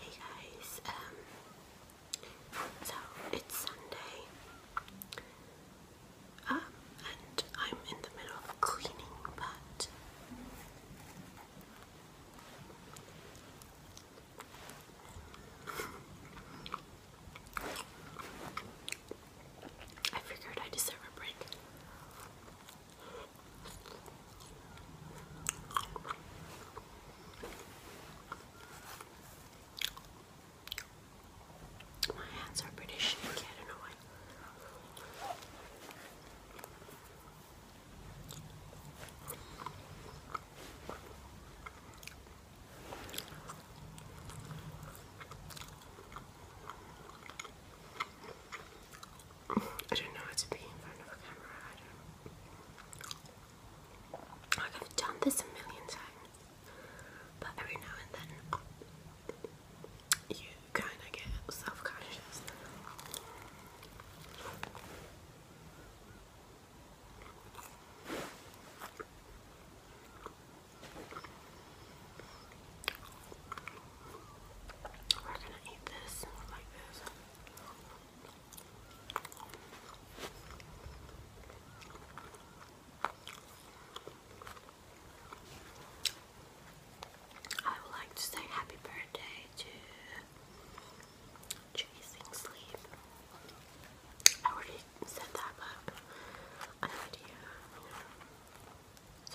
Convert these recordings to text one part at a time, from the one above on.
Hey guys, um, so it's Sunday, um, and I'm in the middle of cleaning, but I figured I deserve a break. My hands are pretty shaky, I don't know why. I don't know how to be in front of a camera. I don't. Like I've done this a million times, but every now and then you kind of get self-conscious. We're gonna eat this like this. I would like to say happy birthday to Chasing Sleep. I already said that, but I have no idea.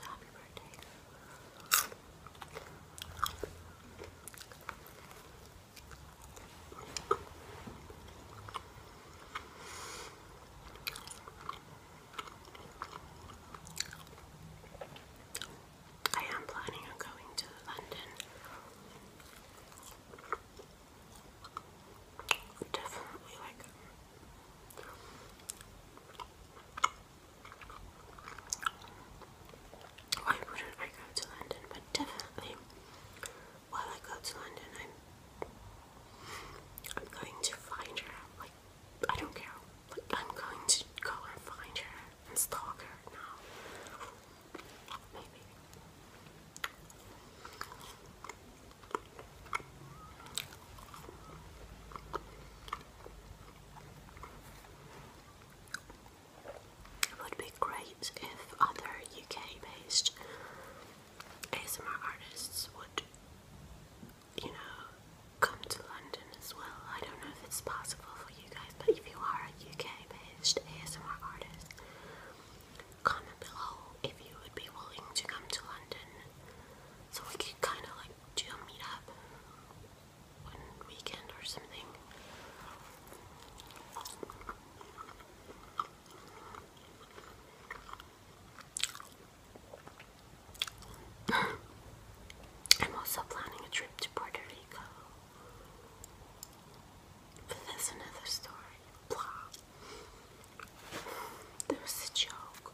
happy birthday. I am planning on going to London. Definitely like why wouldn't I go to London? But definitely, while I go to London, I'm I'm going to find her. Like I don't care. Like I'm going to go and find her and stalk her now. Maybe. It would be great if other UK based ASMR artists would, you know, come to London as well. I don't know if it's possible for you guys, but if you are a UK based ASMR artist, comment below if you would be willing to come to London so we could kind of like to meet up one weekend or something. I'm also planning a trip to Puerto Rico. that's another story. Blah. There was a joke.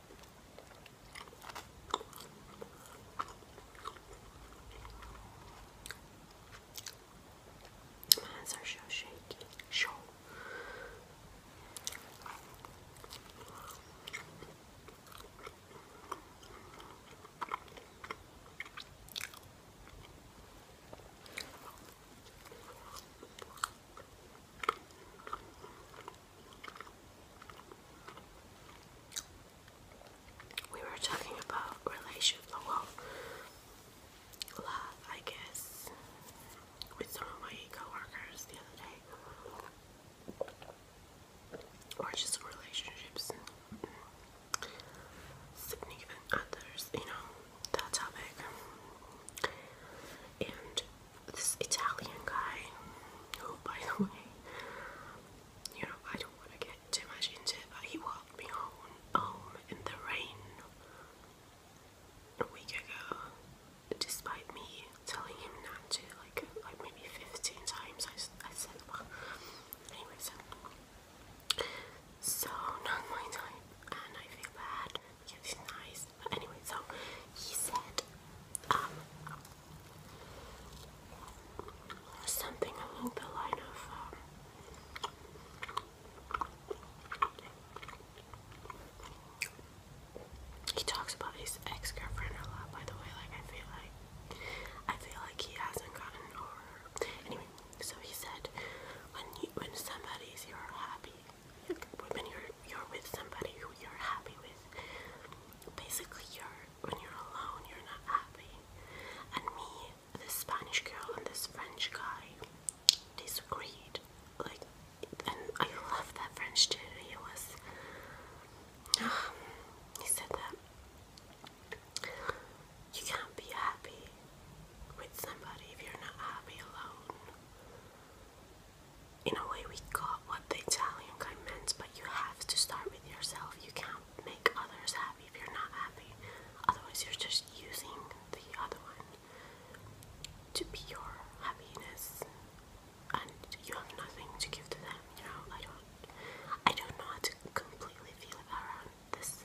My hands are so shaky. Sure. We were talking about relations, well, love, I guess, with some of my coworkers the other day, or just relationships, significant others, you know, that topic, and this Italian guy who by the way you know I don't want to get too much into it but he walked me home in the rain a week ago despite me telling him not to like like maybe 15 times I, I said well anyways so not my time and I feel bad because nice. But anyway, so he said um, something along the line of. Um, he talks about his ex-girlfriend a lot, by the way. Like I feel like I feel like he hasn't gotten over her. Anyway, so he said, when you, when somebody is your happy when you're you're with somebody who you're happy with, basically you're when you're alone you're not happy. And me, this Spanish girl and this French guy disagreed. Like, and I love that French dude. He was, he said that you can't be happy with somebody if you're not happy alone in a way, we got what the Italian guy meant, but you have to start with yourself. You can't make others happy if you're not happy. Otherwise, you're just using the other one to be your happiness, and you have nothing to give to them. You know, I don't, I don't know how to completely feel about this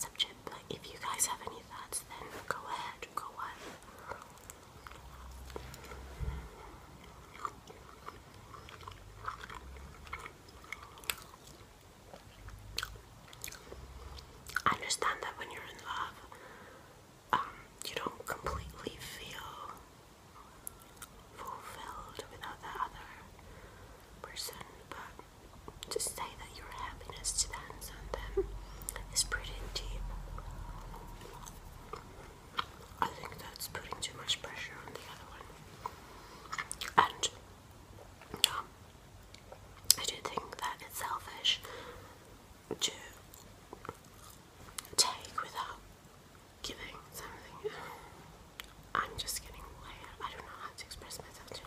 subject. But if you guys have any thoughts, then go ahead, go on. I understand that when you're in love, um, you don't completely feel fulfilled without that other person, but to say that your happiness depends on them is pretty deep. I think that's putting too much pressure on the other one. And um, I do think that it's selfish to take without giving I'm just getting way I don't know how to express myself today.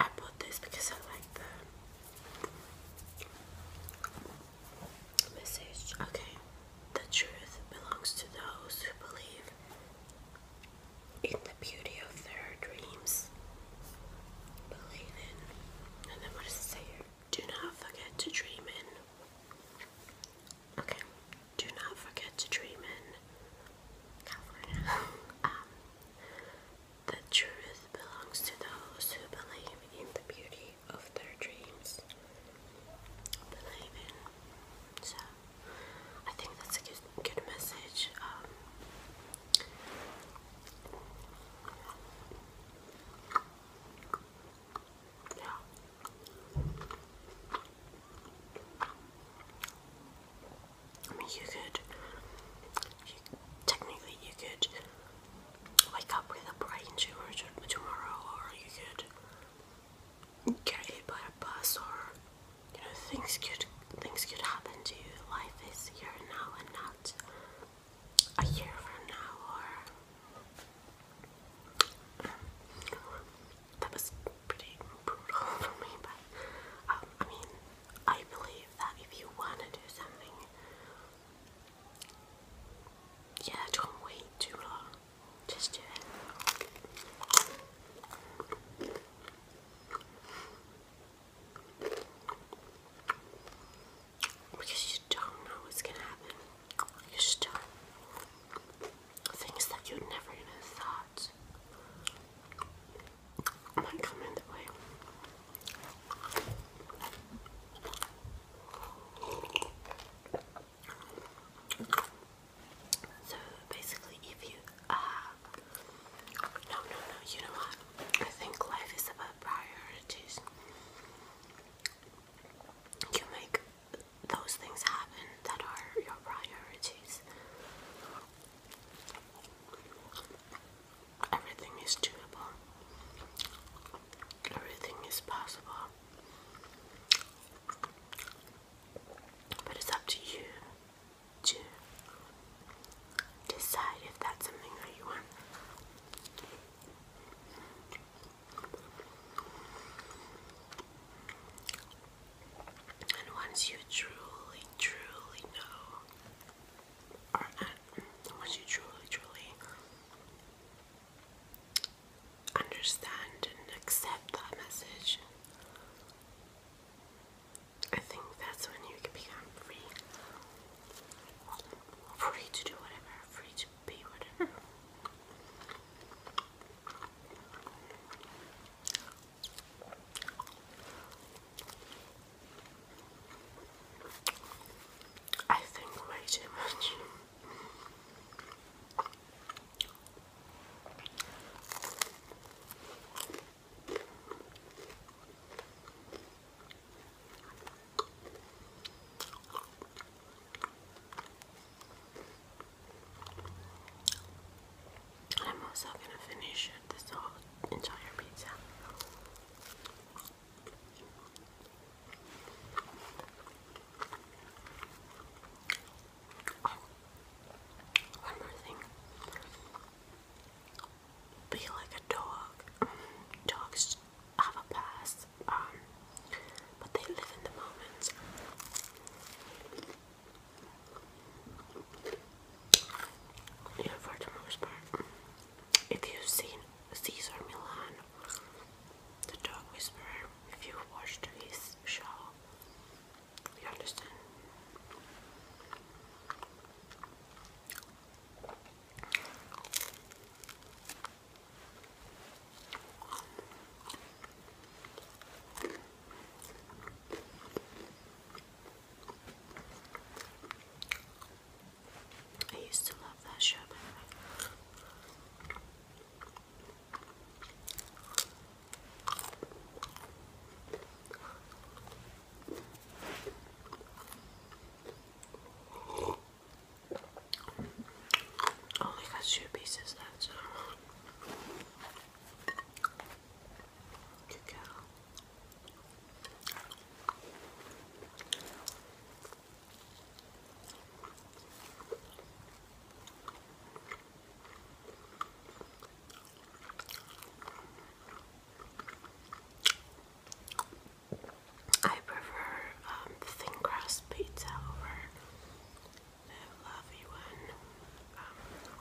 I bought this because I like the message. Okay, the truth belongs to those who believe in the beauty of their dreams. Believe in. And then what does it say here? Do not forget to dream in. Okay, do not forget to dream in. California. um, the truth belongs to those who believe in the beauty of their dreams. Believe in. So, I think that's a good, good message. Um, yeah. I mean, you could, technically, you could wake up with a brain tumor tomorrow, or you could get hit by a bus, or you know, things could things could happen to you. Life is here now, and not a year from now, or. Um, that was pretty brutal for me, but um, I mean, I believe that if you want to do something, yeah, don't wait too long. Just do it. Because you don't know what's gonna happen. You start things that you never even thought so basically, if you uh, no, no, no, you know what? I think life is about priorities. You make those things happen that are your priorities. Everything is doable. Everything is possible. But it's up to you to decide if that's something that you want. And once you truly, truly know are not once you truly, truly understand and accept that message. I think that's when you can become free. Free to do whatever, free to be whatever. I think way too much. I'm also gonna finish this whole entire pizza. Oh, one more thing. Be like a dog. Dogs have a past, um, but they live in the moment for the most part. If you've seen Caesar Milan, the dog whisperer, if you've watched his show, you understand. I used to love that show, Only got two pieces left. Good I prefer um, thin crust pizza over the fluffy one. Um,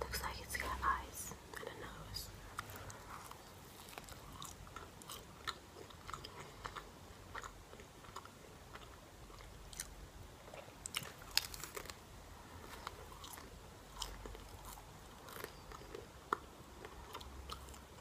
Looks like it's got eyes and a nose.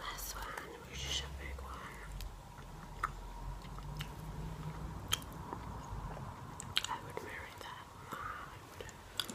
Last one, which just a big one. I would marry that. No,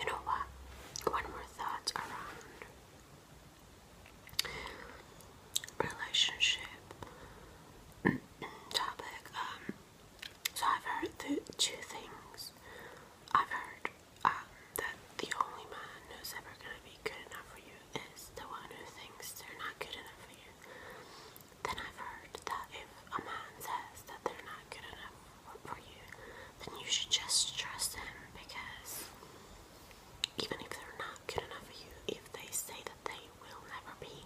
you know what? One more thought around relationship topic. Um, so I've heard two things. I've heard um, that the only man who's ever gonna be good enough for you is the one who thinks they're not good enough for you. Then I've heard that if a man says that they're not good enough for you, then you should just trust him because even if they're not good enough for you, if they say that they will never be,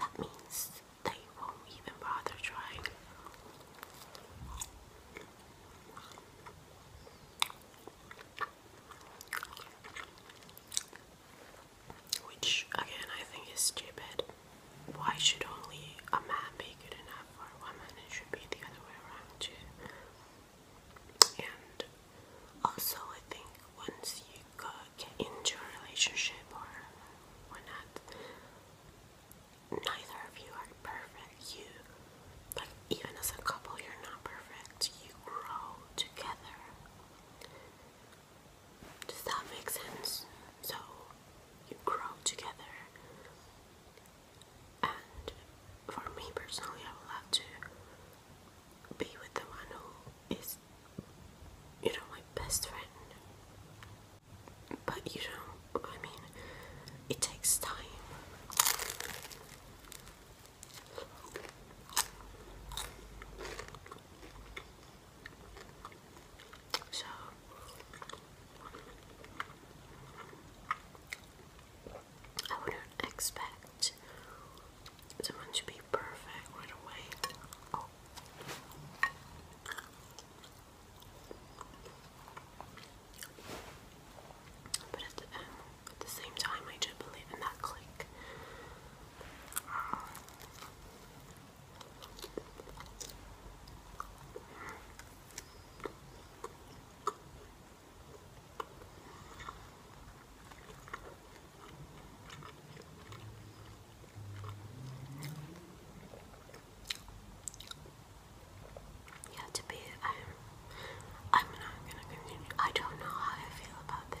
that means they won't even bother trying. Which, again, I think is stupid. Why should only a man be good enough for a woman? It should be the other way around, too. And also, I think once you get into a relationship or whatnot, neither of you are perfect. You, like, even as a couple, you're not perfect. You grow together. Does that make sense? So, you grow together. And for me personally, I would love to be with the one who is, you know, my best friend. But you know, I mean, it takes time. So I wouldn't expect someone to be perfect right away. Oh. But um, at the, same time, I do believe in that click. Yeah, to be, I, I'm not gonna continue. I don't know how I feel about this.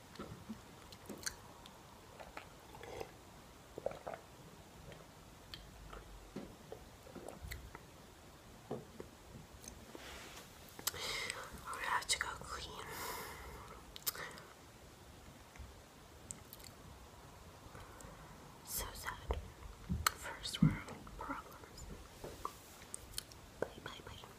i have to go clean. So sad. First world problems. bye bye.